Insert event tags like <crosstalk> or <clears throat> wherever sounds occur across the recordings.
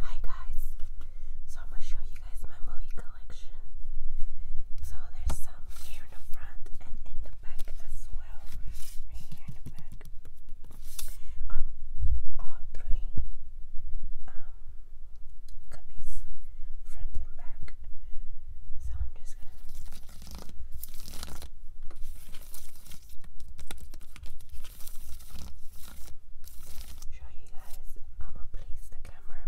Hi guys, so I'm gonna show you guys my movie collection. So there's some here in the front and in the back as well. here in the back. Um, all three um cubbies, front and back. So I'm just gonna show you guys. I'm gonna place the camera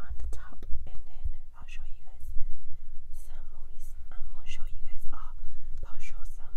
on the top and then I'll show you guys some movies. I'm gonna show you guys all, uh, I'll show some.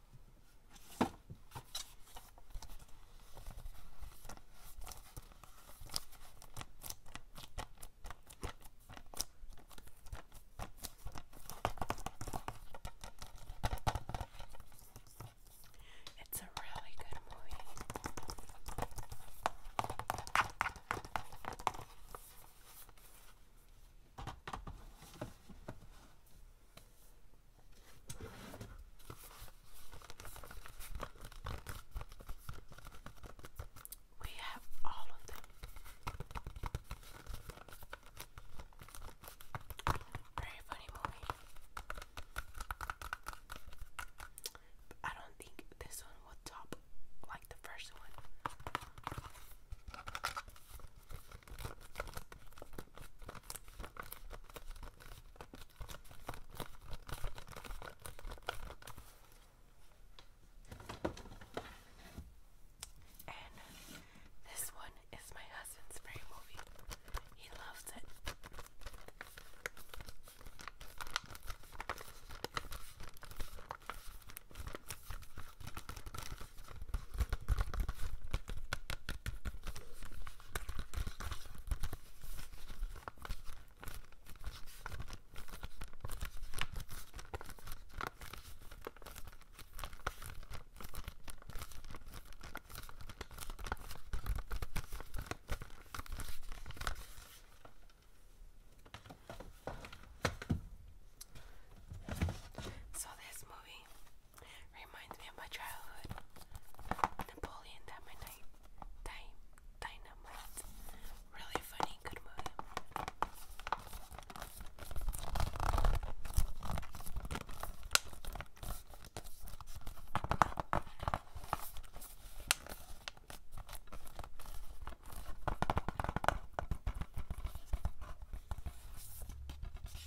It's a really good movie. We have all of them. Very funny movie. I don't think this one will top like the first one. And this one is my husband's favorite movie. He loves it. So this movie Reminds me of my childhood. Napoleon Dynamite. Dynamite. Really funny, good movie.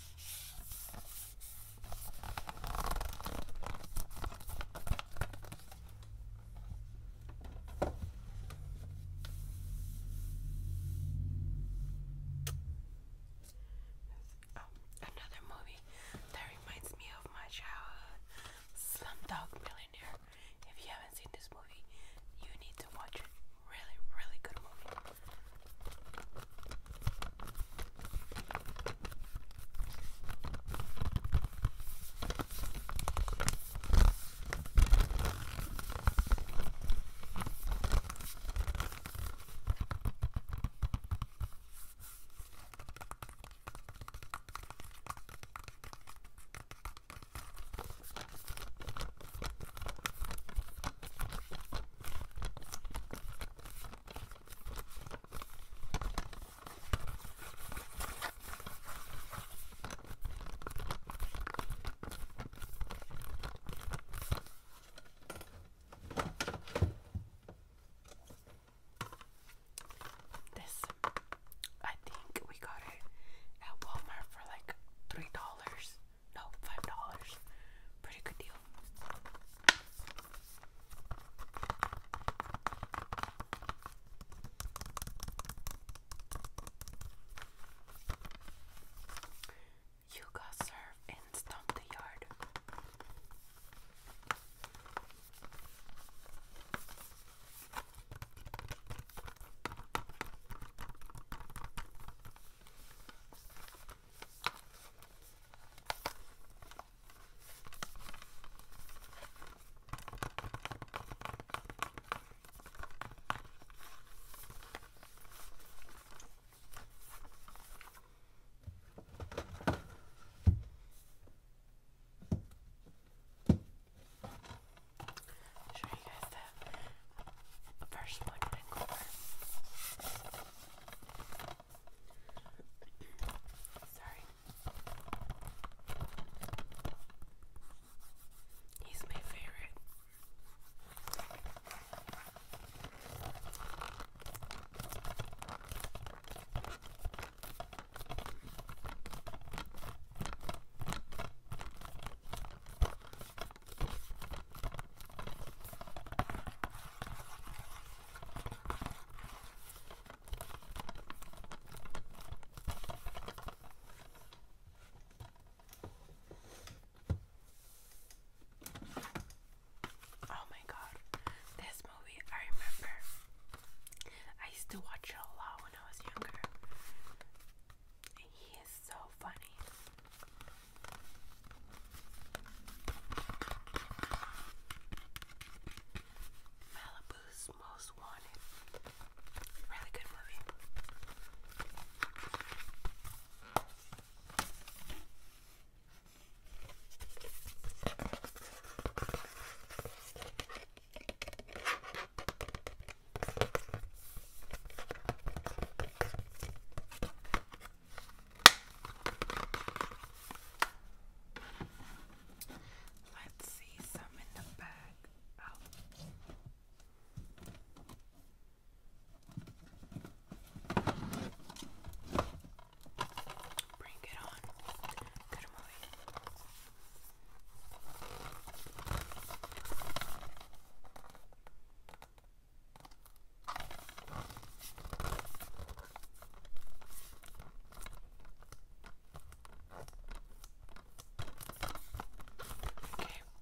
Oh, another movie that reminds me of my childhood, Slumdog Millionaire. If you haven't seen this movie, you need to watch it really, really good movie. This, I think we got it at Walmart for like three dollars. No, five dollars. Pretty good deal. You got serve and stomp the yard. Show you guys the the first one went over. Sorry. He's my favorite. Oh my god, this movie I remember. I used to watch it a lot when I was younger. He is so funny. Malibu's Most Wanted. Really good movie. Let's see some in the back. Oh. Bring it on. Good morning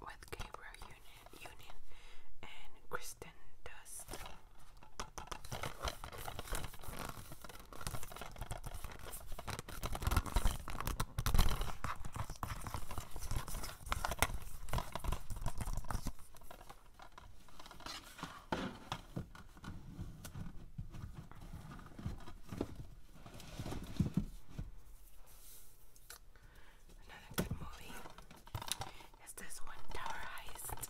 with Gabriel Union, Union and Kristen Dust. Another good movie is this one, Tower Heist.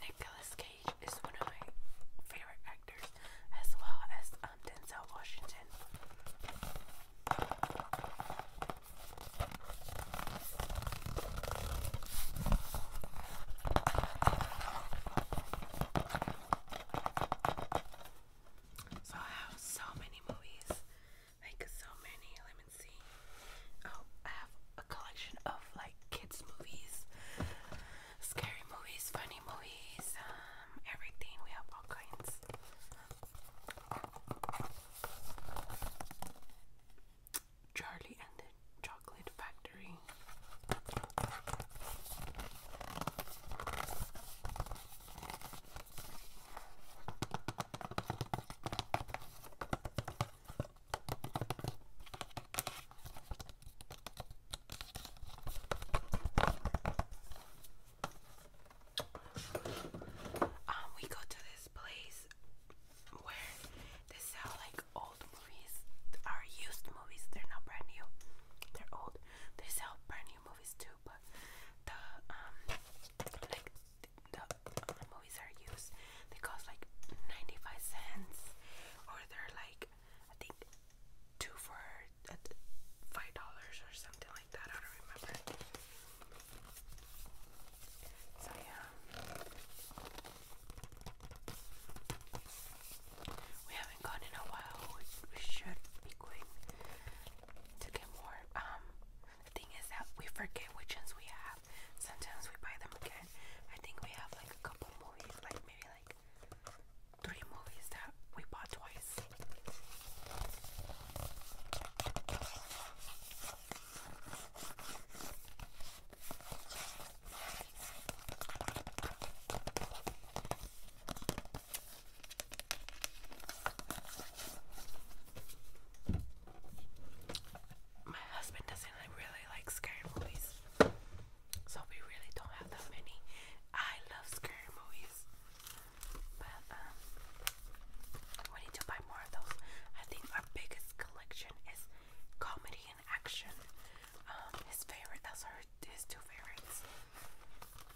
Nicholas Cage is one of my favorite actors, as well as um, Denzel Washington. So I have so many movies like so many. Let me see. Oh, I have a collection of like kids' movies, scary movies, funny movies, um, everything. We have all kinds. Charlie and the Chocolate Factory. Um, we go to this place where they sell like old movies are used movies, they're not brand new. They're old. They sell brand new movies too, but the um like the movies are used. They cost like 95 cents, or they're like I think two for uh, five dollars or something like that. I don't remember. So yeah, we haven't gone in a while. we should be going to get more. Um, the thing is that we forget which ones we have. Sometimes we buy them again. I think we have like a couple movies, like maybe like three movies that we bought twice. My husband doesn't really like scary movies, so we really don't have that many. I love scary movies, but um, we need to buy more of those. I think our biggest collection is comedy and action. Um, his favorite, that's our his two favorites.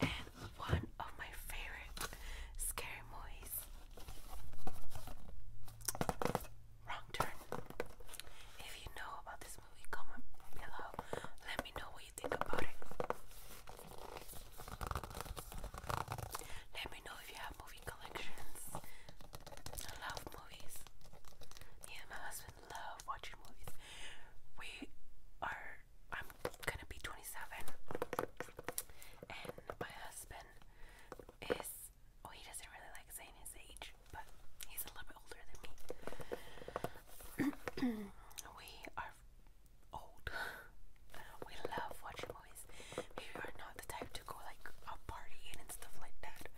and one of my favorite scary movies. Wrong Turn. If you know about this movie, comment below. Let me know what you think about it. Let me know if you have movie collections. I love movies. Me my husband love watching movies. We are, I'm gonna be 27, and my husband is, oh, he doesn't really like saying his age, but he's a little bit older than me. <clears throat> we are old. <laughs> we love watching movies. We are not the type to go like out partying and stuff like that.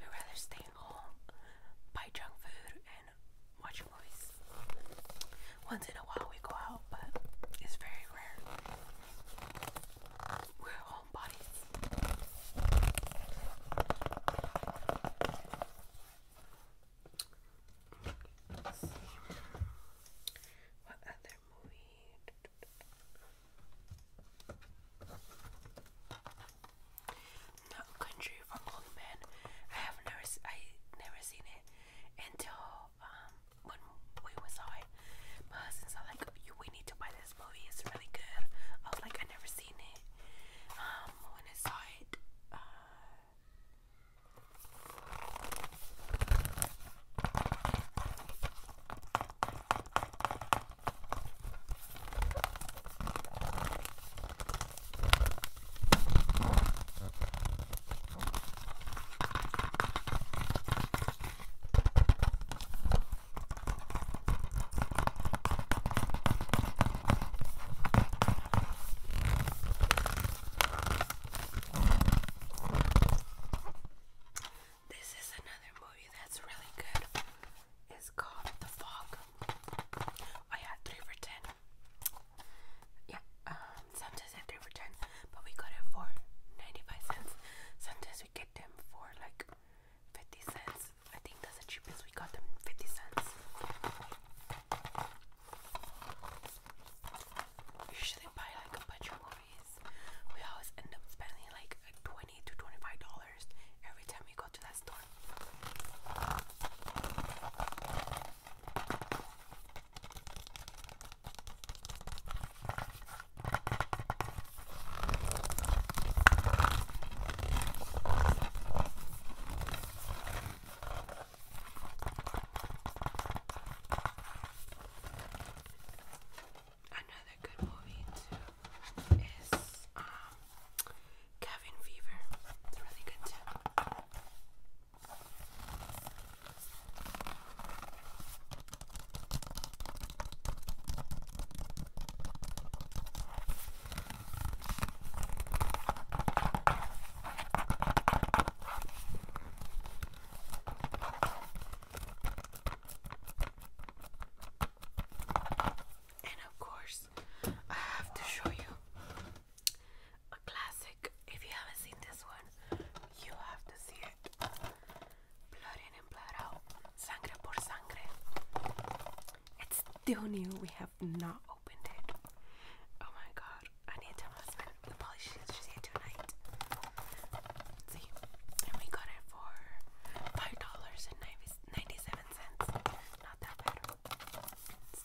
We rather stay at home, buy junk food, and watch movies. Once in a while we go out, but it's very rare. We're homebodies. What other movie? Not Country for Old I have never, I never seen it until um when we saw it. My husband's like, we need to buy this movie. It's really good. I was like, I never seen it. Um, when I saw it, uh, this is another movie that's really good. It's called The Fog. I had three for ten yeah, um, sometimes I have to return, but we got it for 95 cents. Sometimes we get them for like 50 cents. I think that's the cheapest we got them 50 cents. Usually buy like a bunch of movies. We always end up spending like 20 to 25 dollars every time we go to that store. Another good movie too is um, Cabin Fever. It's really good tip. And of course, I have to show you a classic. If you haven't seen this one, you have to see it. Blood in and blood out. Sangre por sangre. It's still new. We have not opened it. Oh my god. I need to tell my husband the polish she's here tonight. See, and we got it for $5.97. Not that bad. It's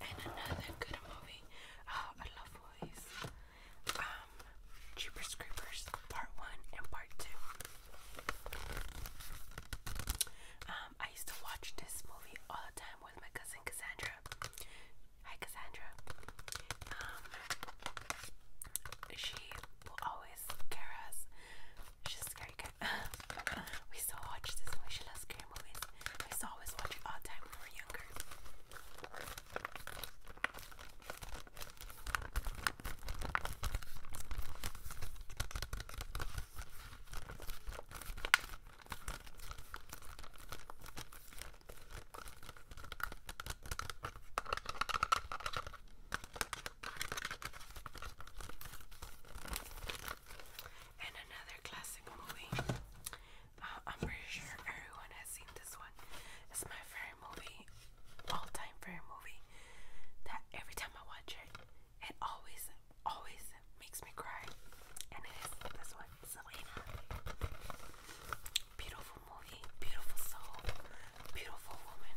And another good movie. Oh, I love movies. Um, Jeepers Creepers, Part One and Part Two. Um, I used to watch this movie all the time with my cousin Cassandra. Hi, Cassandra. Um, she will always scary <laughs> we still watch this movie. She loves scary movies. We always watch it all the time when we were younger. And another classic movie. Uh, I'm pretty sure everyone has seen this one. It's my favorite movie, all-time favorite movie. That every time I watch it, it always, always makes me cry. And it is this one, Beautiful movie, beautiful soul beautiful woman.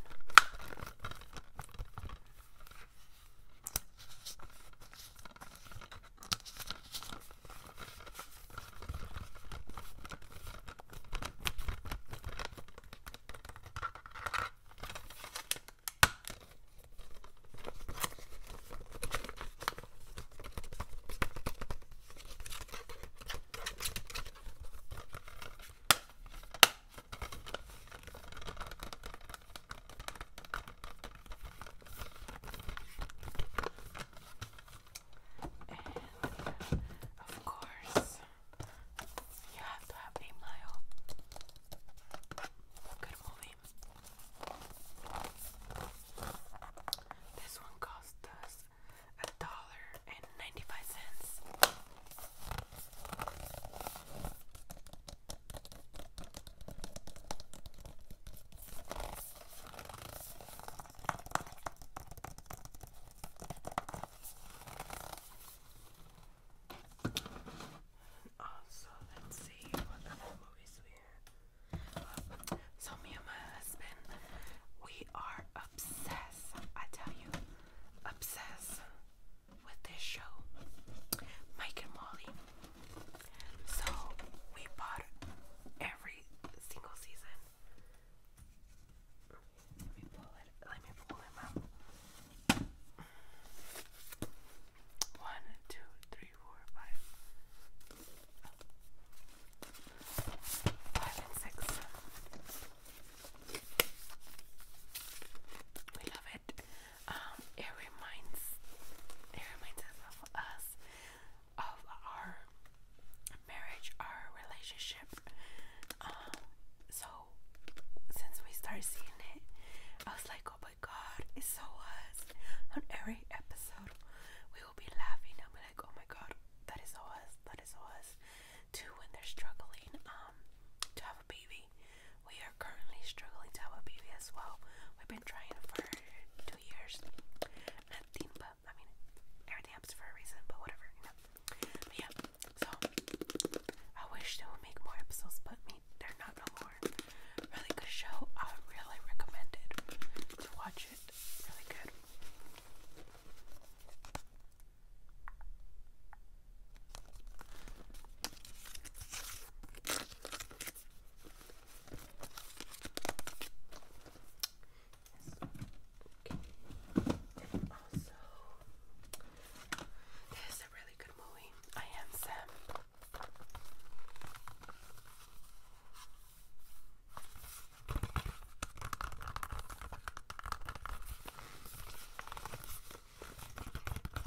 And of course, you have to have a Good movie. This one cost us a dollar and ninety five cents. Also, let's see what other movies we have. So, me my husband, we are obsessed. I tell you, Obsessed with this show, Mike and Molly. So we bought every single season. Let me pull it. Let me pull him out. One, two, three, four, five, oh. five and six. We love it. Um, it reminds it reminds us of us of our marriage, our relationship. Um, so since we started seeing it, I was like, oh my god, it's so us. On every episode, we will be laughing and be like, oh my god, that is us, that is us to when they're struggling um, to have a baby. We are currently struggling to have a baby as well. We've been trying for two years. Nothing but, I mean, everything happens for a reason, but whatever, you But yeah, so I wish they would make more episodes, but me, they're not no more. Really good show. I really recommend to watch it. Really good. Okay. And a really good movie. I am Sam. Another good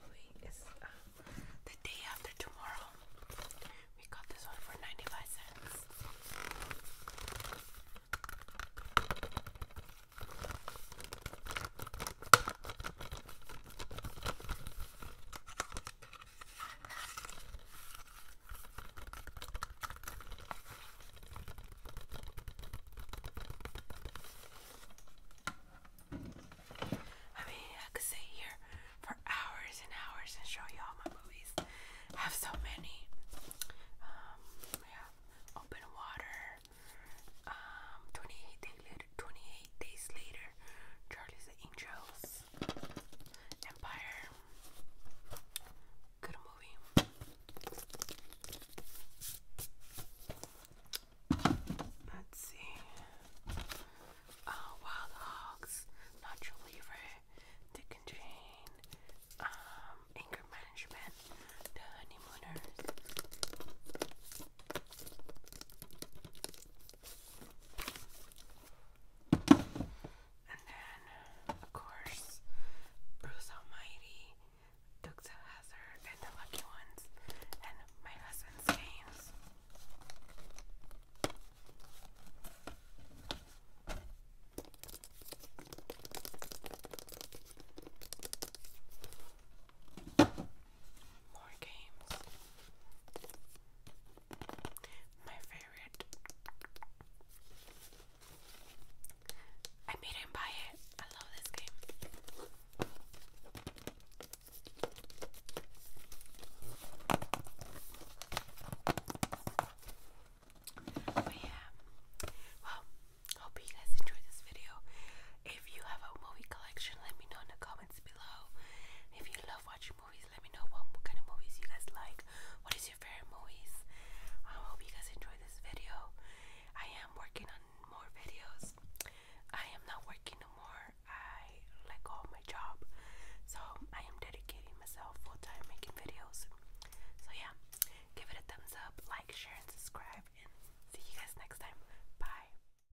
movie is uh, The Day After Tomorrow. We got this one for 95 cents. I mean, I could sit here for hours and hours and show you all my movies. I have so many. Um, yeah, Open Water. Um, 28 Days Later. 28 Days Later. Empire, Charlie's Angels, Empire. Good movie. Let's see. Uh, Wild Hogs, Not Dick and Jane, um, Management, The Honeymooners. And then, of course, Bruce Almighty, Dukes of Hazard, and the Lucky Ones, and my husband's games. More games. My favorite. I made him buy it. I love this game. But yeah. Well, hope you guys enjoyed this video. If you have a movie collection, let me know in the comments below. If you love watching movies, let me know what, kind of movies you guys like. What is your favorite movies? I hope you guys enjoy this video. I am working on more videos. I am not working no I let go my job. So I am dedicating myself full time making videos. So yeah, give it a thumbs up, like, share, and subscribe. And see you guys next time. Bye.